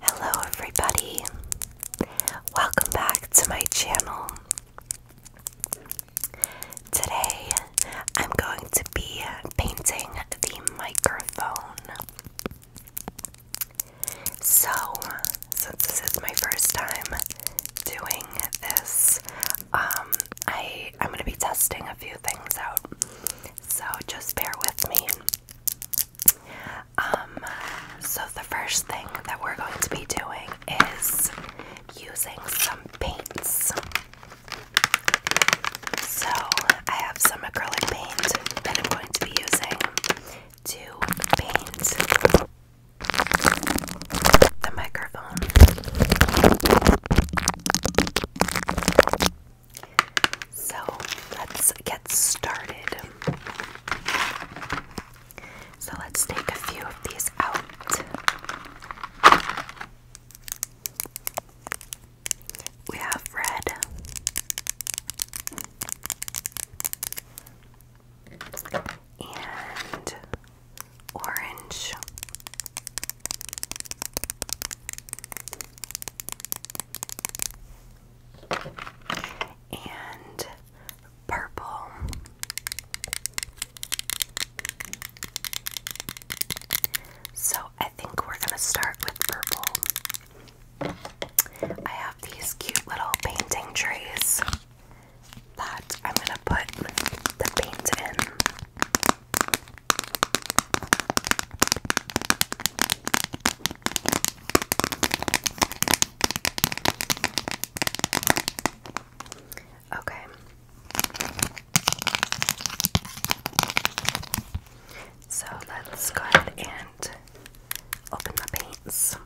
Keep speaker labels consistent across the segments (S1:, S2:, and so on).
S1: Hello, everybody. Welcome back to my channel. Today, I'm going to be painting the microphone. So, since this is my first time doing this, um, I I'm gonna be testing a few things out. So just bear with me. Um, so the first thing that we're going to be doing is using some paints. So I have some acrylic paint that I'm going to be using to paint the microphone. So let's get started. So let's take a few of these out. We have red, and orange. And purple so I think we're gonna start with purple. I have these cute little painting trays that I'm gonna put the paint in. Okay. So let's go ahead and open the paints.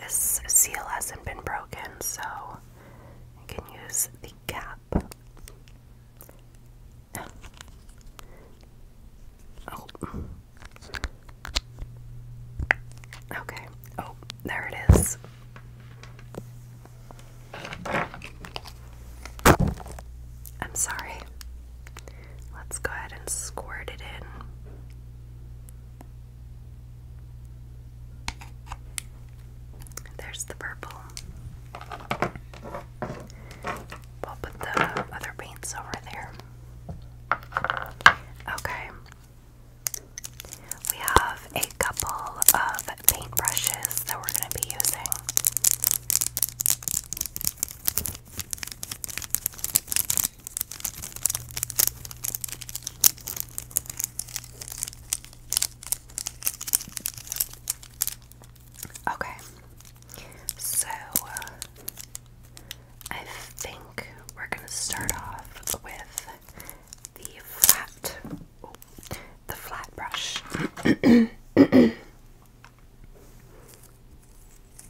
S1: This seal hasn't been broken, so I can use the cap. Oh. Okay. Oh, there it is. I'm sorry. Let's go ahead and squirt it in. There's the purple. We'll put the other paints over there. Okay. We have a couple of paintbrushes that we're going to be using. Okay, so I think we're going to start off with the flat, the flat brush.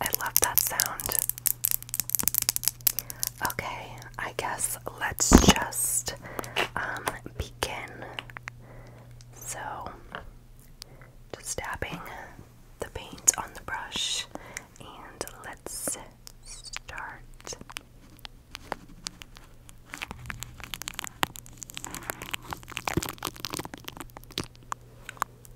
S1: I love that sound. Okay, I guess let's just um, begin. So, just dabbing the paint on the brush, and let's start.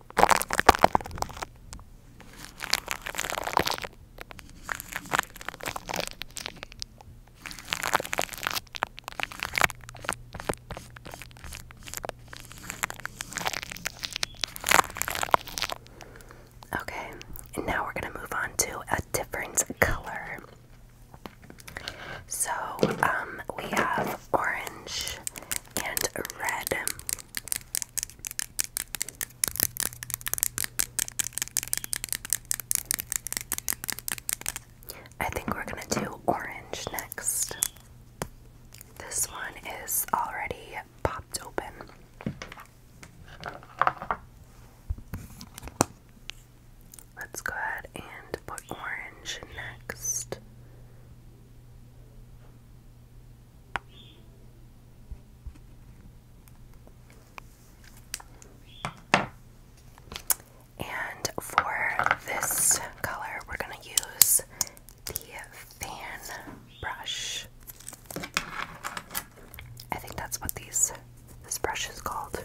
S1: Okay, and now we're going to move on to a different color. So, um, we have orange and red. I think we're going to do orange next. This one is already popped open. Let's go ahead and put orange next. And for this color, we're going to use the fan brush. I think that's what these this brush is called.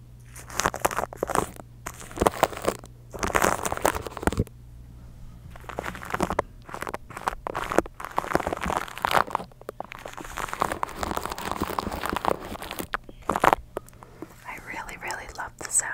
S1: I really, really love the sound.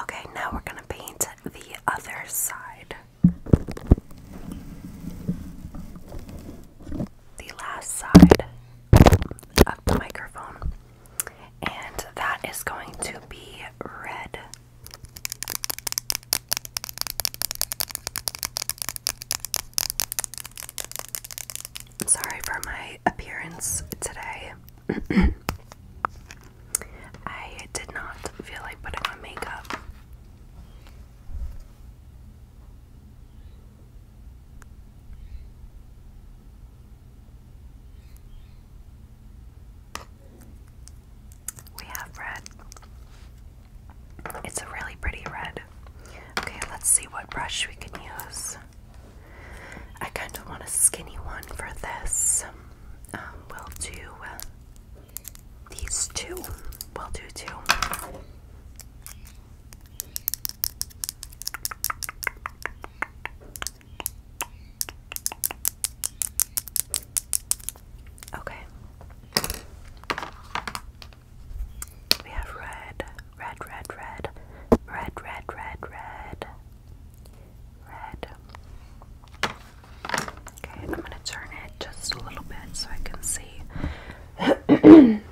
S1: Okay, now we're going to paint the other side. The last side of the microphone. And that is going to be red. Sorry for my appearance today. I did not feel like putting on makeup. We have red. It's a really pretty red. Okay, let's see what brush we can use. I kind of want a skinny one for this. Um, um, will do uh, these 2 We'll do two. Okay. We have red, red, red, red, red, red, red, red, red. Okay, I'm going to turn it just a little bit so I can see.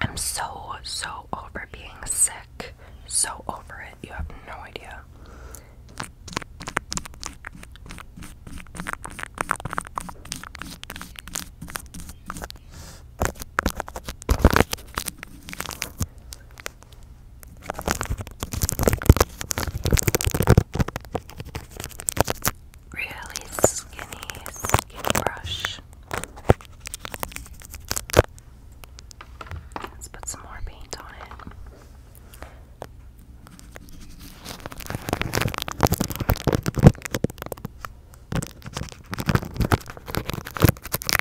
S1: I'm so, so over being sick. So over it. You have no idea. Really skinny, skinny brush. Let's put some more paint on it.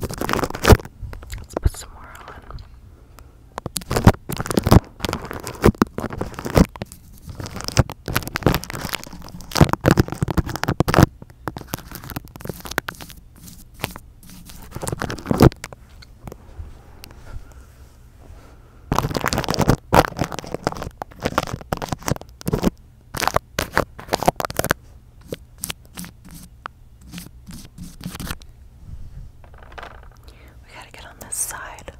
S1: Let's put some more on. We gotta get on this side.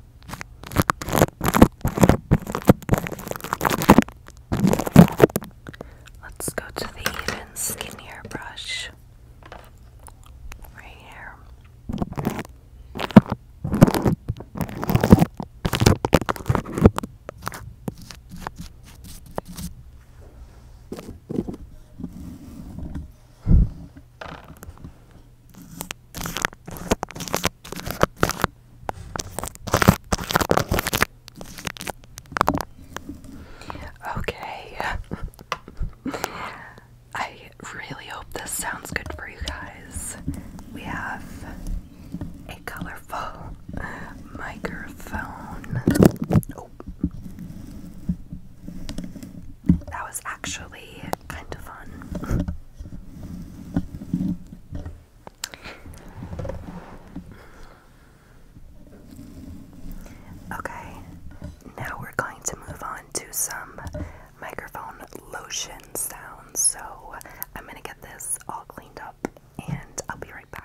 S1: Let's go to the even skinnier brush right here. Okay. I really hope this sounds good for you guys. We have a colorful microphone. Oh that was actually kind of fun. Okay, now we're going to move on to some microphone lotion sounds. So I'm going to get this all cleaned up and I'll be right back.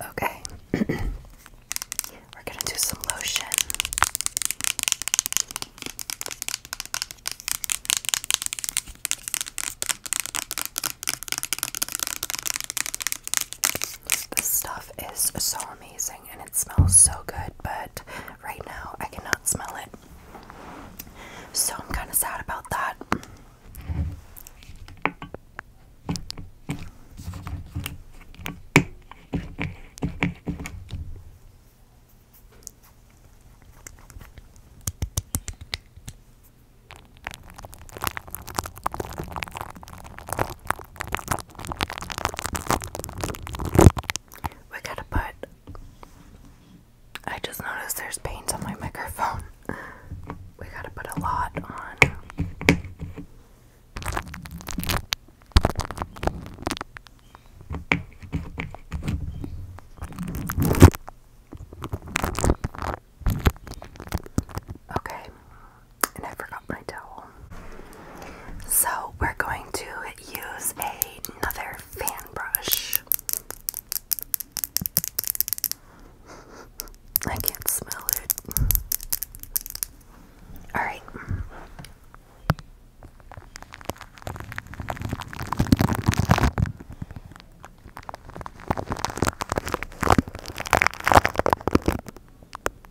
S1: Okay, we're going to do some lotion. This stuff is so amazing and it smells so good, but right now I cannot smell it. So I'm kind of sad about that. We're to put. I just noticed there's paint on my microphone. We gotta put a lot on. Okay, and I forgot my towel. So we're going to use another fan brush. I can't smell it. Alright.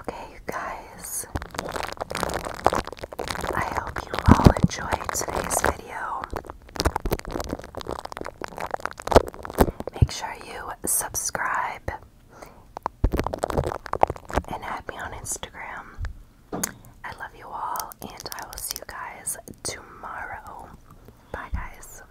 S1: Okay, you guys. I hope you all enjoyed today's video. Make sure you subscribe and add me on Instagram. I love you all, and I will see you guys tomorrow. Bye, guys.